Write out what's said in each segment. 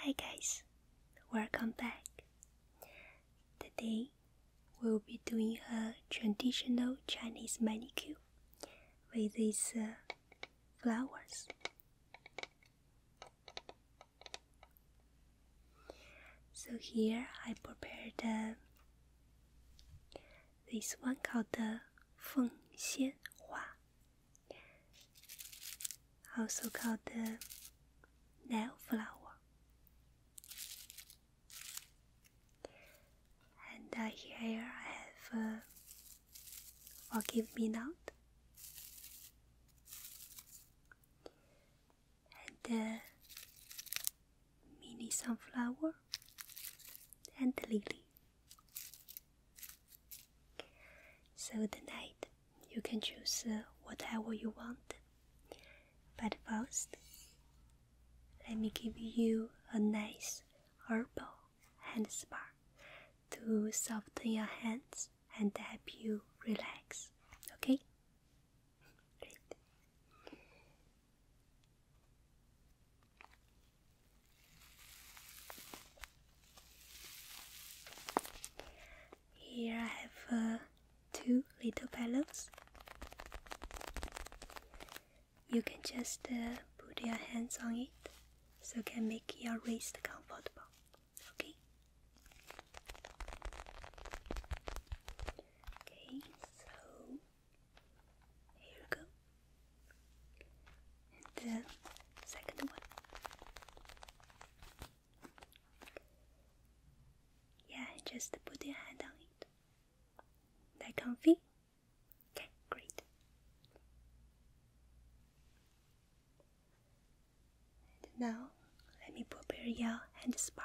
Hi guys, welcome back. Today we'll be doing a traditional Chinese manicure with these uh, flowers. So here I prepared this one called the Feng Xian Hua also called the uh, nail flower. And uh, here I have uh, Forgive Me Not. And uh, mini sunflower and lily. So tonight you can choose uh, whatever you want. But first, let me give you a nice herbal hand spa to soften your hands and help you relax. Okay? Here I have uh, two little pillows. You can just uh, put your hands on it so it can make your wrist comfortable. Okay? Okay, so here we go and the second one. Yeah, just put your hand on it. That comfy? Okay, great. now let me prepare your hand spa.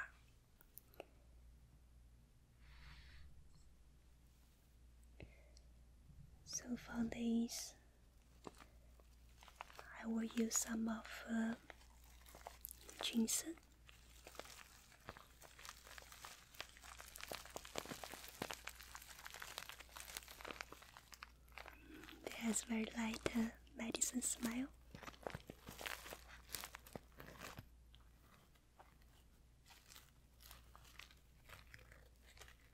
So for this I will use some of uh, ginseng. has very light uh, medicine smell.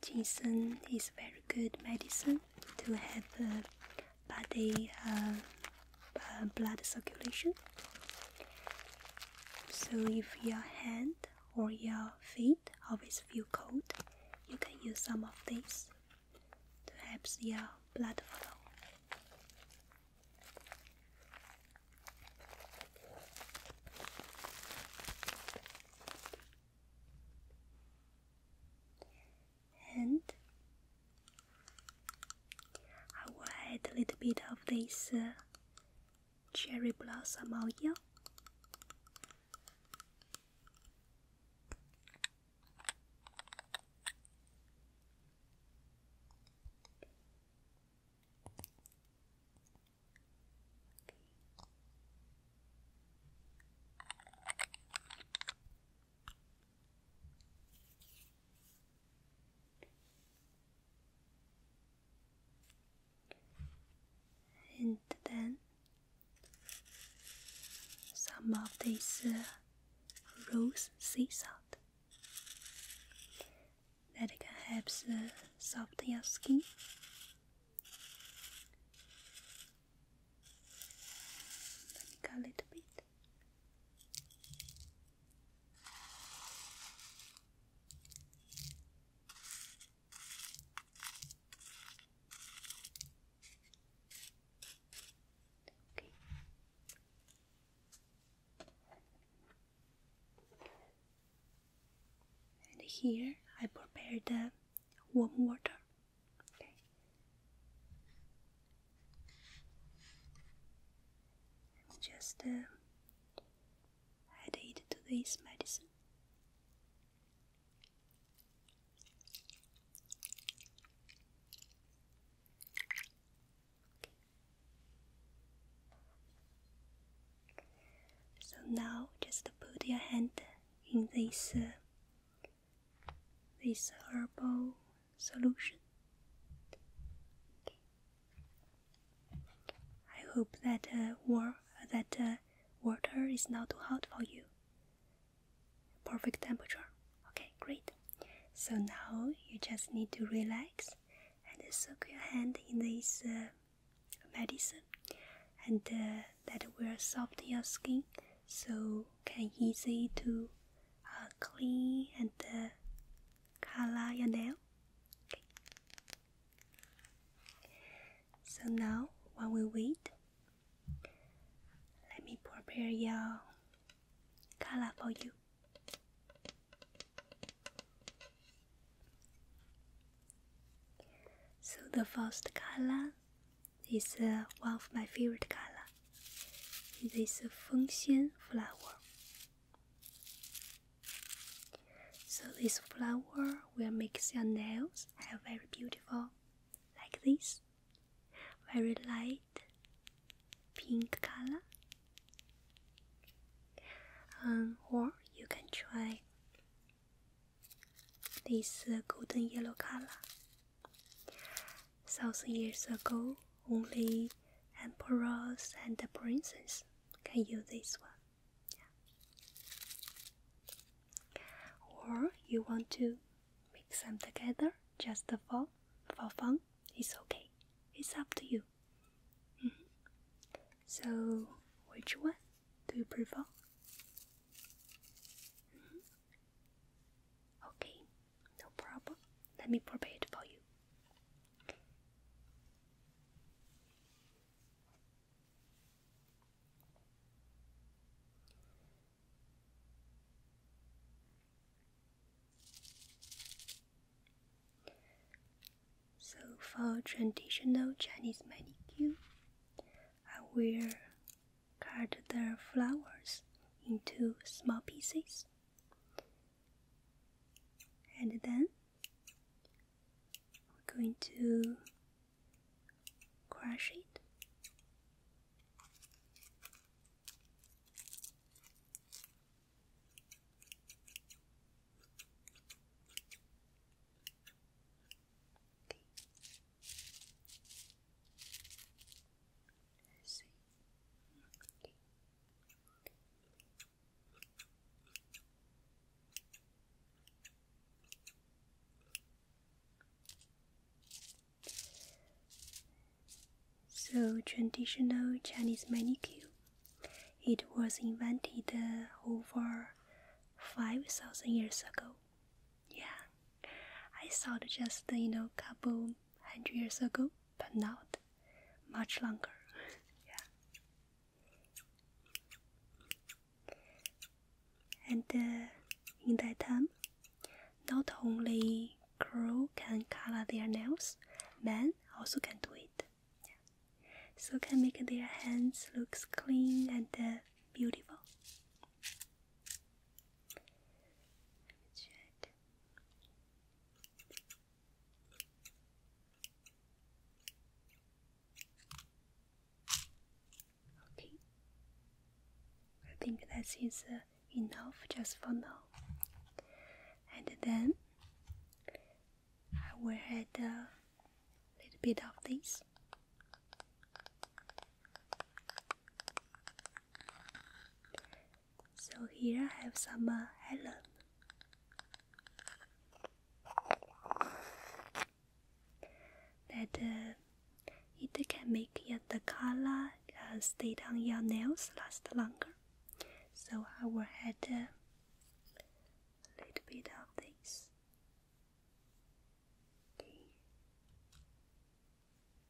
Ginseng is very good medicine to help body uh, um, blood circulation. So if your hand or your feet always feel cold, you can use some of this to help your blood flow. And I will add a little bit of this uh, cherry blossom oil and then some of this uh, rose sea salt that can help uh, soften your skin. a little bit. And here I prepare the warm water. It's just uh, added to this medicine. So now just put your hand in this uh, this herbal solution. I hope that uh, war that uh, water is not too hot for you. Perfect temperature. Okay, great. So now you just need to relax and soak your hand in this uh, medicine, and uh, that will soften your skin, so can easy to uh, clean and color your nail. So now, while we wait, let me prepare your color for you. So the first color is uh, one of my favorite color. It is a function flower. So this flower will make your nails are very beautiful, like this, very light pink color. or you can try this golden yellow color thousand years ago, only emperors and princes can use this one. Or you want to mix them together just for, for fun, it's okay. It's up to you. Mm-hmm. So, which one do you prefer? Mm-hmm. Okay, no problem. Let me prepare it for you. So for traditional Chinese manicure, I will cut the flowers into small pieces and then we're going to crush it. So, traditional Chinese manicure. It was invented uh, over 5,000 years ago. Yeah, I saw just, you know, couple 100 years ago, but not much longer. yeah. And uh, in that time, not only crew can color their nails, men also can do it. So can make their hands looks clean and uh, beautiful. Okay. I think that is uh, enough just for now. And then I will add a little bit of this. So here I have some uh, Helen. That uh, it can make your the uh, color stay on your nails last longer. So I will add uh, a little bit of this.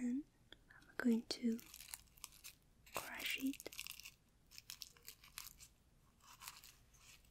then I'm going to crush it.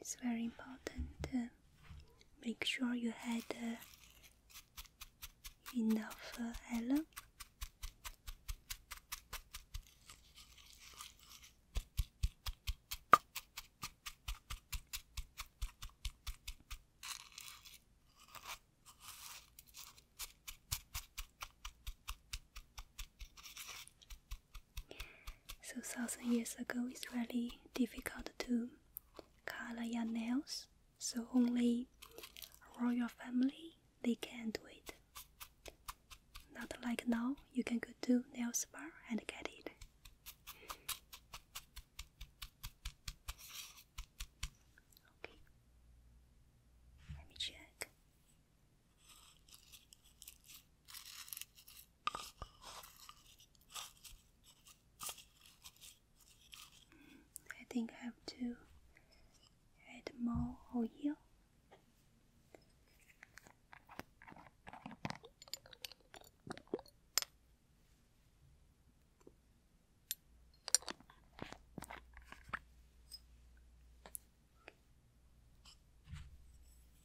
It's very important to make sure you had uh, enough uh, alum. So thousand years ago, it's really difficult to color your nails. So only royal family they can do it. Not like now, you can go to nail spa and get it. Okay, let me check. I think I have to add more oil.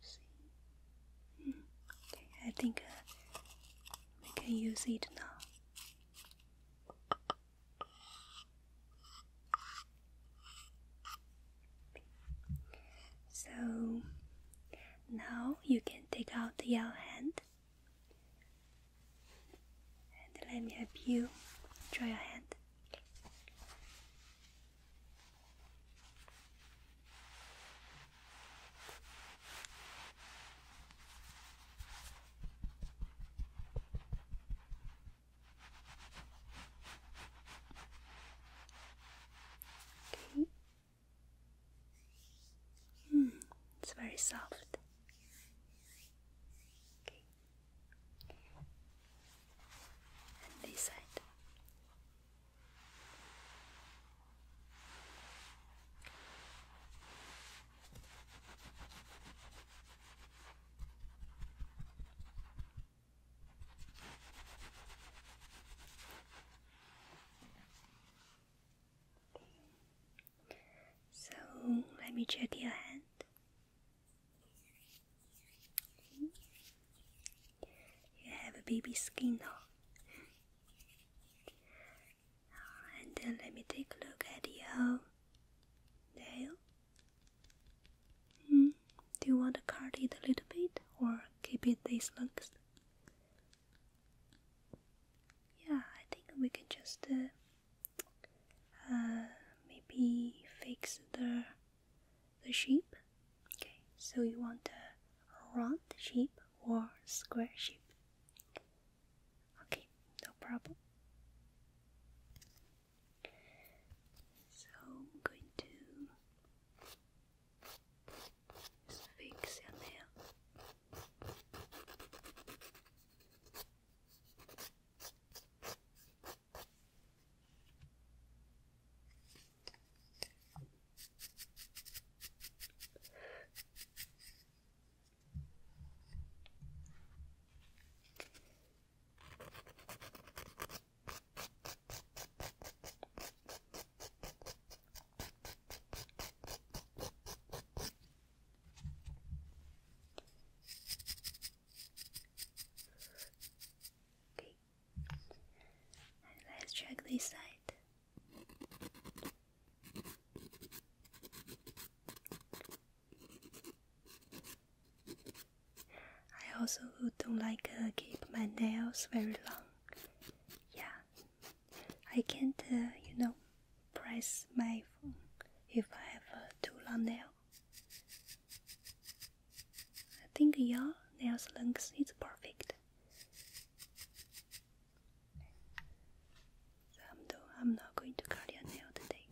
See? Hmm. okay, I think uh, we can use it now. So now you can take out your hand and let me help you draw your hand. Okay. Hmm, it's very soft. Okay. And this side. So let me check your hand. You have a baby skin now. And then let me take a look at your um, nail. Mm. Do you want to cut it a little bit or keep it this looks? Yeah, I think we can just uh, uh, maybe fix the the shape. Okay, so you want a round sheep or square shape. Okay, no problem. So I'm going to fix your nail. Big let's check this side. I also don't like to uh, keep my nails very long. Yeah, I can't, uh, you know, press my phone if I have a uh, too long nail. I think your nails length is perfect. So I'm, not going to cut your nail today.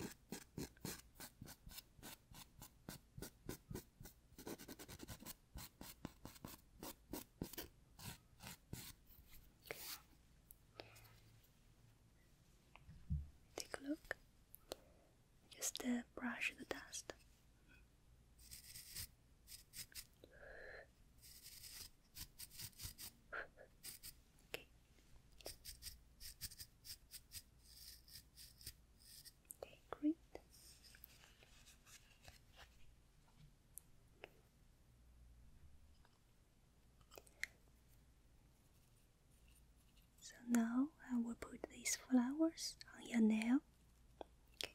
Take a look. Just uh, brush the dust. Okay. Okay, great. So now I will put these flowers on your nail. Okay.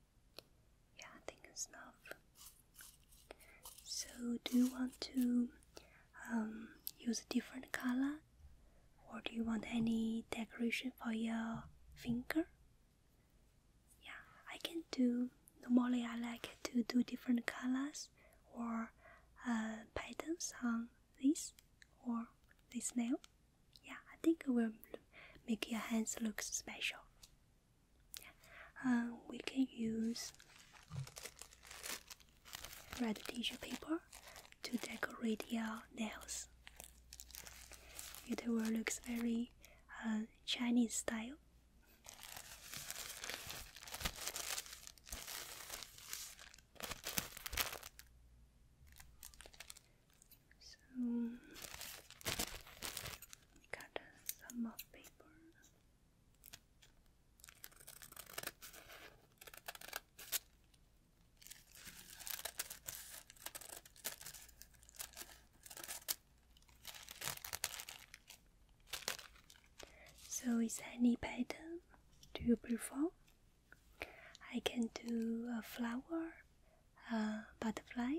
Yeah, I think it's enough. So, do you want to um, use a different color, or do you want any decoration for your finger? Yeah, I can do. Normally, I like to do different colors or uh, patterns on this or this nail. Yeah, I think it will make your hands look special. Um, we can use red tissue paper to decorate your nails. It will look very uh, Chinese style. So, cut some of paper. So is any pattern do you prefer? I can do a flower, a butterfly,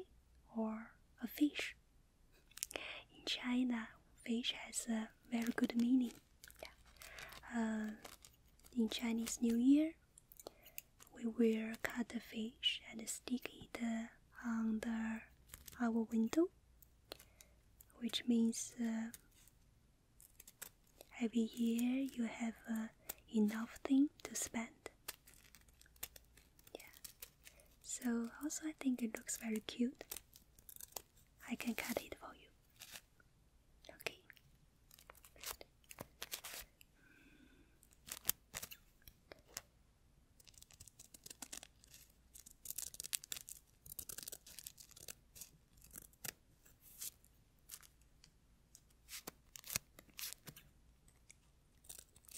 or a fish in China, fish has a very good meaning. Uh, in Chinese New Year, we will cut the fish and stick it uh, under our window, which means uh, every year you have uh, enough thing to spend. So also I think it looks very cute. I can cut it for you. Okay.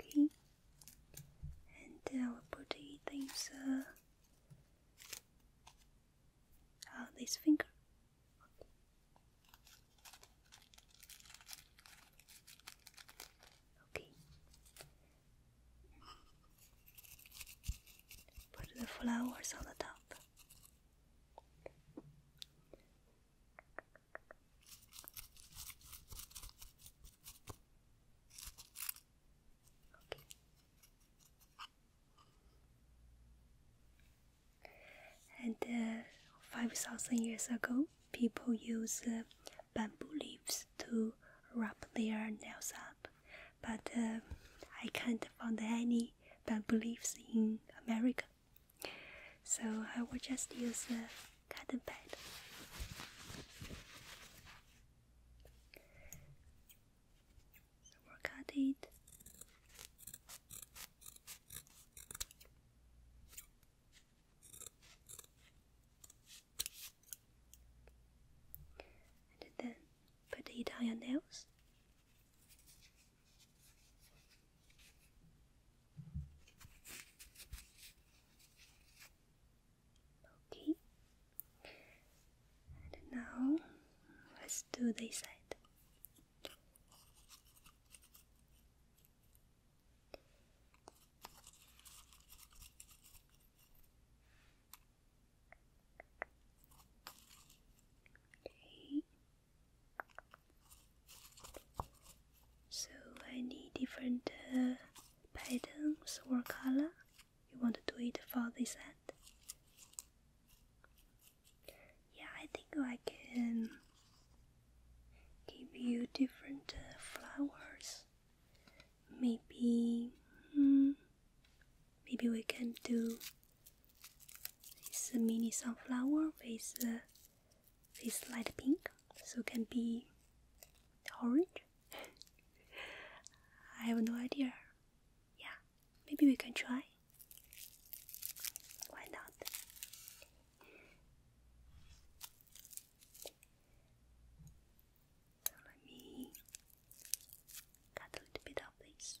Okay. And our body thinks uh, uh, this finger. okay. Put the flowers on the top. And uh, five thousand years ago, people used uh, bamboo leaves to wrap their nails up, but uh, I can't find any bamboo leaves in America, so I will just use. Got the bed. work at it. And then put it on your nails. Okay. And now let's do this side. Okay. So any different patterns uh, or color you want to do it for this end? Yeah, I think I can give you different uh, flowers. Maybe, hmm, maybe we can do this mini sunflower with uh, this light pink, so it can be orange. I have no idea. Yeah, maybe we can try. Why not? let me cut a little bit of this.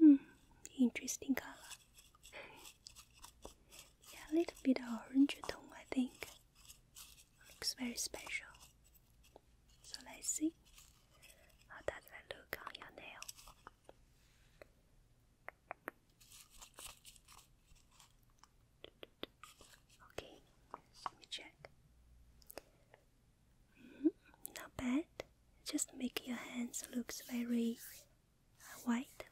Hmm, interesting color. Yeah, a little bit of orange tone, I think. Looks very special. So let's see how does that look on your nail. Okay, let me check. -hmm, not bad. Just make your hands looks very white.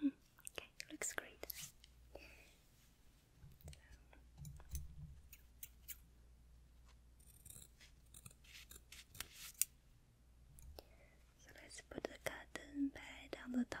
Hmm. Okay, looks great. So let's put the cotton pad on the top.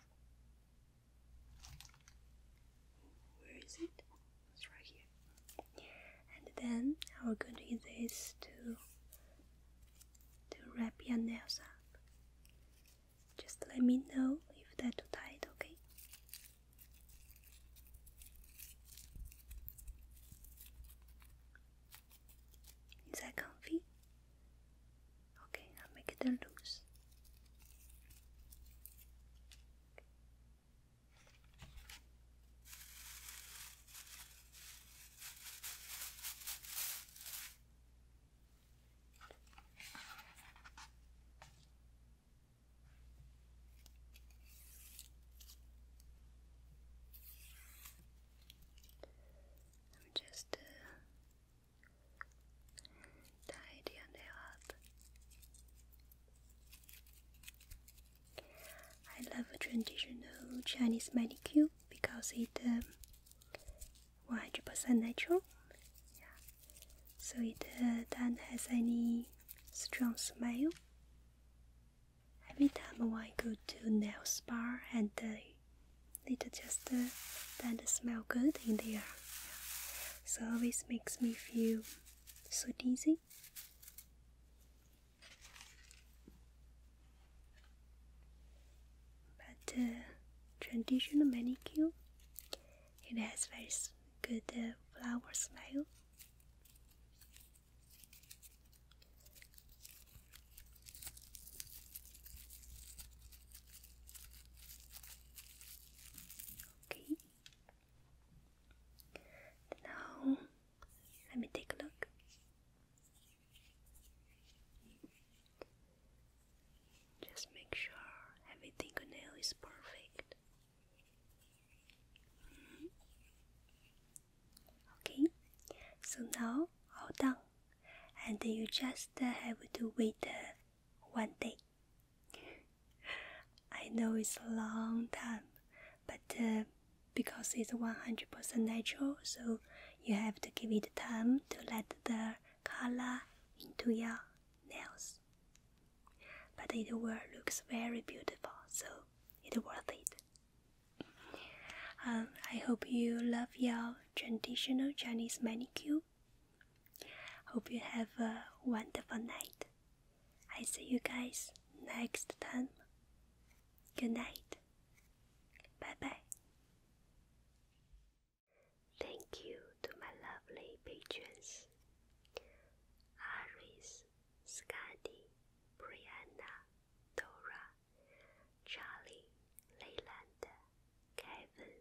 where is it? It's right here. And then we're going to use this to to wrap your nails up. Just let me know if that's too tight, okay? Is that comfy? Okay, I'll make it loose. I'm just uh, tidy on I love traditional Chinese manicure because it 100% um, natural. So it uh, doesn't has any strong smell. Every time when I go to nail spa and uh, it just uh, not smell good in there. air. So always makes me feel so dizzy. But uh, traditional manicure, it has very good uh, flower smell. Okay. Now, let me take a look. Just make sure every nail is perfect. Hmm. Okay, so now all done and you just uh, have to wait uh, one day. I know it's a long time, but uh, because it's 100% natural, so you have to give it time to let the color into your nails. But it will looks very beautiful, so it's worth it. Um, I hope you love your traditional Chinese manicure. Hope you have a wonderful night. I see you guys next time. Good night. Bye bye. Thank you to my lovely patrons Aris, Scotty, Brianna, Dora, Charlie, Kevin,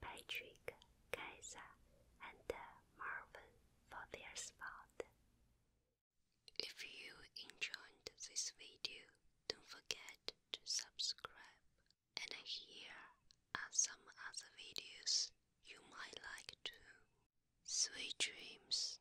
Patrick, Kaiser, and Marvin for their spot. If you enjoyed this video, don't forget to subscribe. And here are some other videos you might like too. Sweet dreams.